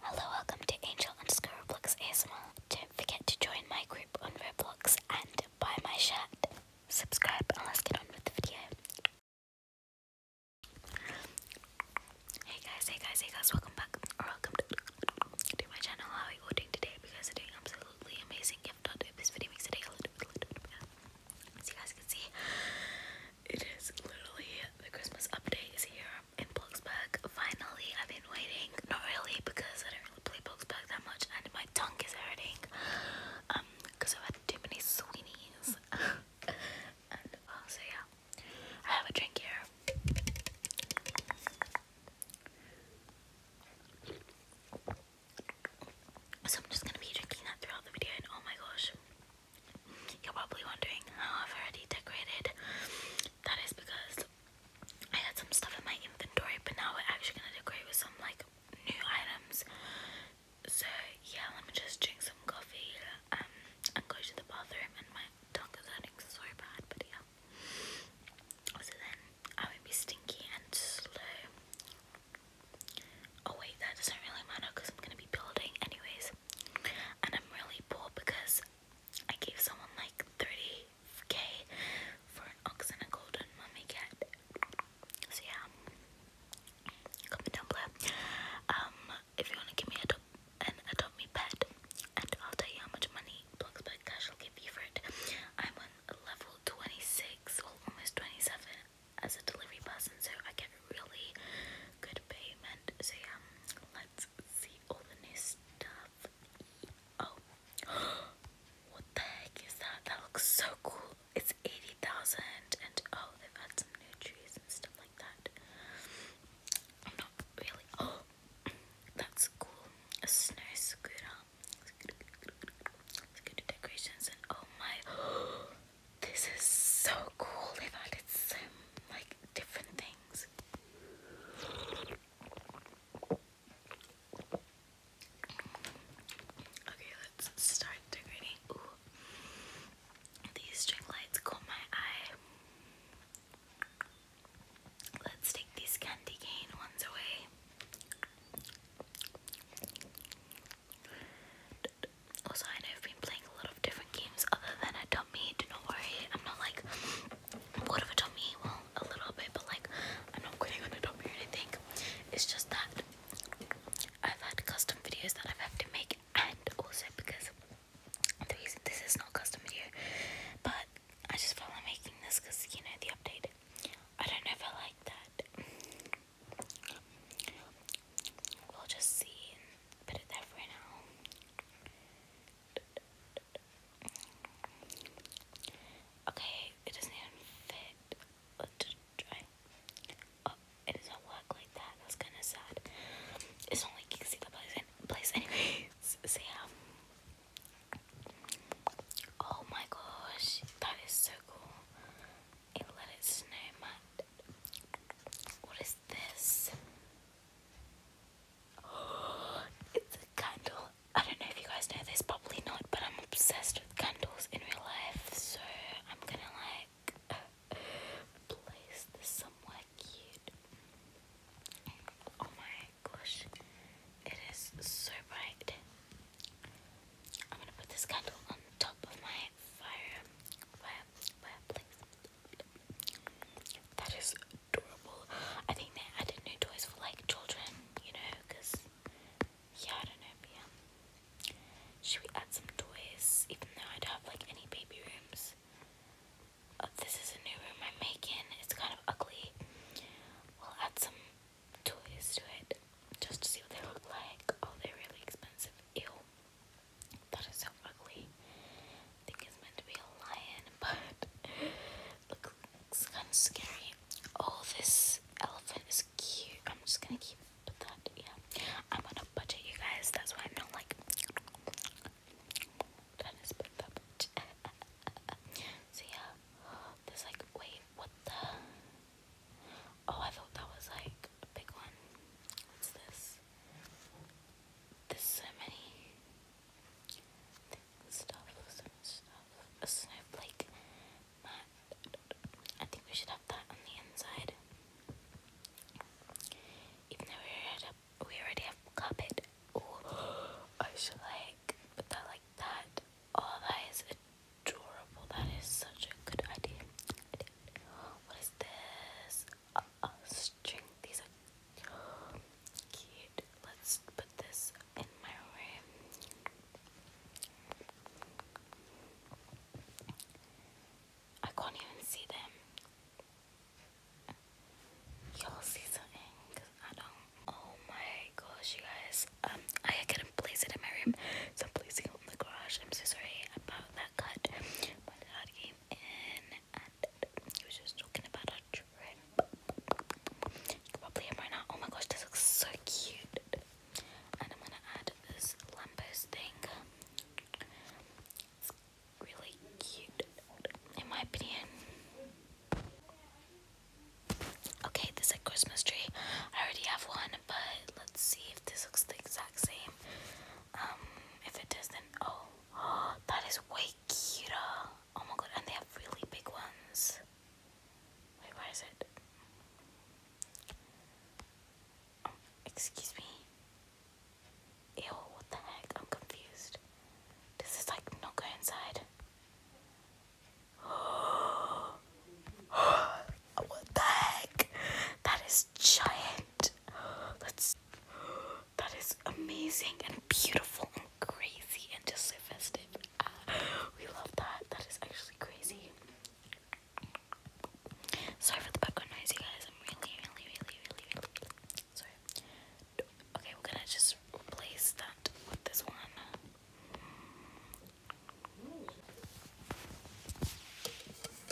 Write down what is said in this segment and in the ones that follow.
Hello, welcome to Angel underscore Roblox ASMR. Don't forget to join my group on Roblox and buy my shirt. Subscribe and let's get on with the video. Hey guys, hey guys, hey guys, welcome back or welcome to, my channel. How are you doing today? Because you are absolutely amazing. If not, if this video makes a a little bit better. As you guys can see, it is literally the Christmas update is here in Bloxburg. Finally, I've been waiting. Not really, because I don't really play Bloxburg that much, and my tongue is hurting. Um, because I've had too many Sweeneys. Uh, so yeah, I have a drink here. So I'm just gonna be drinking that throughout the video, and oh my gosh, you're probably wondering how I've already decorated. That is because I had some stuff in my inventory, but now we're actually gonna decorate with some like new items. So yeah, let me just drink some coffee um, and go to the bathroom. And my tongue is hurting so bad, but yeah. So then I won't be stinky and slow. Oh wait, that doesn't really matter because I'm gonna be building anyways. And I'm really poor because I gave someone like 30k for an ox and a golden mummy cat. So yeah, comment down below. Um, if you wanna give me a an adopt me pet, and I'll tell you how much money Bloxburg Cash will give you for it. I'm on level 26, almost 27 as a delivery person, so I get really good payment. So yeah, let's see all the new stuff. Oh, what the heck is that? That looks so cool. It's 80,000 and oh, they've had some new trees and stuff like that. I'm not really, oh, that's cool. A snow scooter. Scooter decorations and oh my, this is so cool. They've added some like different things. Okay, let's start decorating. Ooh. These string lights caught my eye. Let's take these candy cane ones away. Also, I know I've been playing a little different games other than a dummy. Do not worry, I'm not like bored of a dummy. Well, a little bit, but like I'm not quitting on a dummy or anything. It's just that I've had custom videos that I've had to make, and also because the reason this is not custom video, but I just felt like making this because you know the update. I don't know if I like that. We'll just see. Put it there for now. Okay, it doesn't fit. Let's try. Oh, it doesn't work like that. That's kind of sad. It's not like you can place, place anyways. So Oh my gosh, that is so cool. It let it snow, What is this? It's a candle. I don't know if you guys know this, probably not, but I'm obsessed with candles in real life, so I'm gonna like place this somewhere cute. Oh my gosh, it is so bright. I'm gonna put this candle on top of my fire, fireplace. That is adorable. I think they added new toys for like children, you know, because yeah, I don't know, yeah. Should we add some toys? Even though I don't have like any baby rooms. Oh, this is a new room I'm making. It's kind of ugly. We'll add some toys to it just to see what they look like. Oh, they're really expensive. Ew. That is so ugly. think it's meant to be a lion, but looks kind of scary. Oh, this elephant is cute. I'm just gonna keep that. Yeah, I'm on a budget, you guys. That's why I'm not like trying to spend yeah, there's like, wait, what the? Oh, I thought that was like a big one. What's this? There's so many things, stuff, so much stuff. A snowflake I think we should have that on the inside. Even though we already have, we already have carpet. Ooh, I should like put that like that. Oh, that is adorable. That is such a good idea. What is this? string. These are cute. Let's put this in my room. I can't even see them. Y'all see something? Cause I don't. Oh my gosh, you guys. Um, I couldn't place it in my room, so I'm placing it on the garage. I'm so sorry about that cut. My dad gave in he was just talking about our trip. You can probably hear right now. Oh my gosh, this looks so cute. And I'm gonna add this Lambos thing. It's really cute, in my opinion. Okay, this is Christmas tree. I already have one, but let's see if this looks the exact same. Um, if it does, then oh, that is way cuter. Oh my god, and they have really big ones. where is it? Um, excuse me. Ew, what the heck? I'm confused. Does this like not go inside? what the heck? That is giant. Let's that is amazing and beautiful and crazy and just so festive. Ah, we love that. That is actually crazy. Sorry for the background noise, you guys. I'm really, really, really, really, really sorry. Okay, we're gonna just replace that with this one. Okay,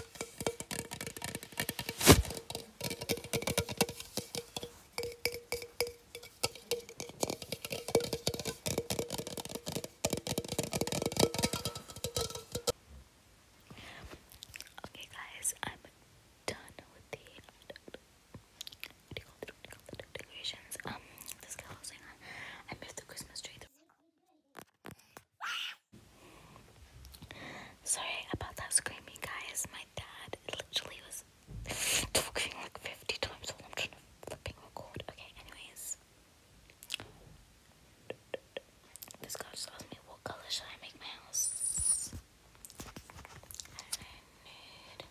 guys, I'm done with the what you Um, this girl was I moved the Christmas tree. Sorry about that screaming, guys. My dad literally was talking like 50 times while I'm trying to flipping record. Okay, anyways. This guy just asked me what color should I make my house? nude,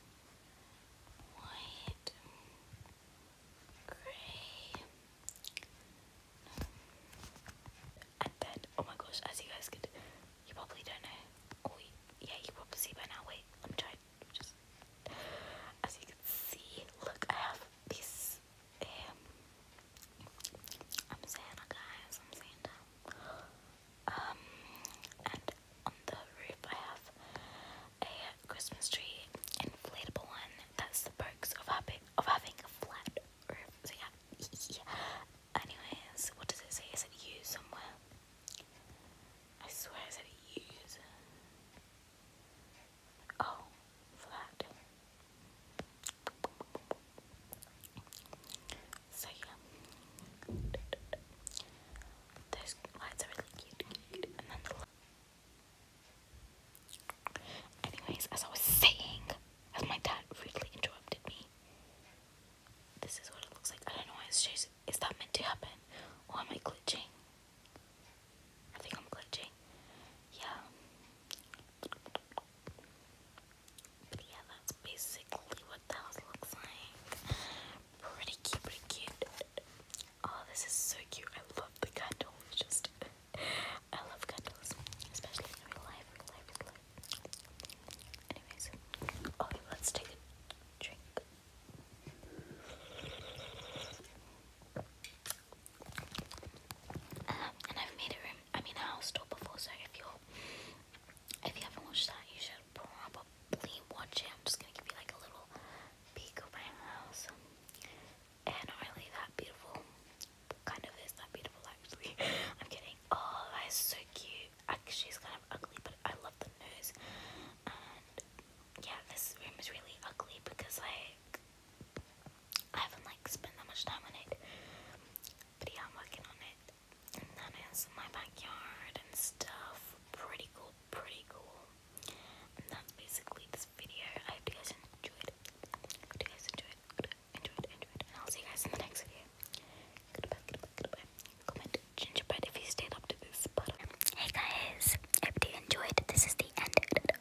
white, grey and then oh my gosh, as you guys could, you probably don't know. Oh yeah, you probably see by now. Wait, I'm trying. Just as you can see, look, I have this. Um, I'm Santa, guys. I'm Santa. Um, and on the roof, I have a Christmas tree, inflatable one. That's the perks of having of having a flat so yeah, Anyways, what does it say? Is it you somewhere? I swear it's said use. Oh, flat. So yeah. Those lights are really cute. Anyways, as I was saying, as my dad rudely interrupted me, this is what it looks like. I don't know why it's changed. Is that meant to happen? Or am I glitching? I think I'm glitching. Yeah. But yeah, that's basically what the looks like. Pretty cute, pretty cute. Oh, this is so cute. I love the candle. just. I love candles, especially in real life. Real life is life. Anyways, okay, oh, let's take a drink. Um, and I've made a room, I mean a house tour before, so if you if you haven't watched that, you should probably watch it. I'm just gonna give you like a little peek of my house and not really that beautiful. Kind of is that beautiful actually. I'm kidding. Oh, that is so cute. Actually, it's kind of ugly, but I love the nose. And yeah, this room is really ugly because like I haven't like spent that much time on it. But yeah, I'm working on it. And that is my backyard and stuff. Pretty cool, pretty cool. And that's basically this video. I hope you guys enjoyed. Hope you guys enjoyed. Enjoy it, enjoy it. And I'll see you guys in the next video. gingerbread if you stayed up to this part. Um, hey guys, hope you enjoyed. This is the end of the video.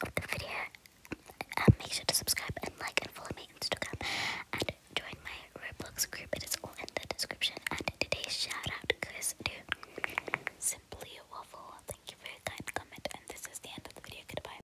Um, make sure to subscribe and like and follow me on Instagram and join my Roblox group. It is all in the description. And today's shout out goes to Simply Waffle. Thank you for your kind comment. And this is the end of the video. Goodbye.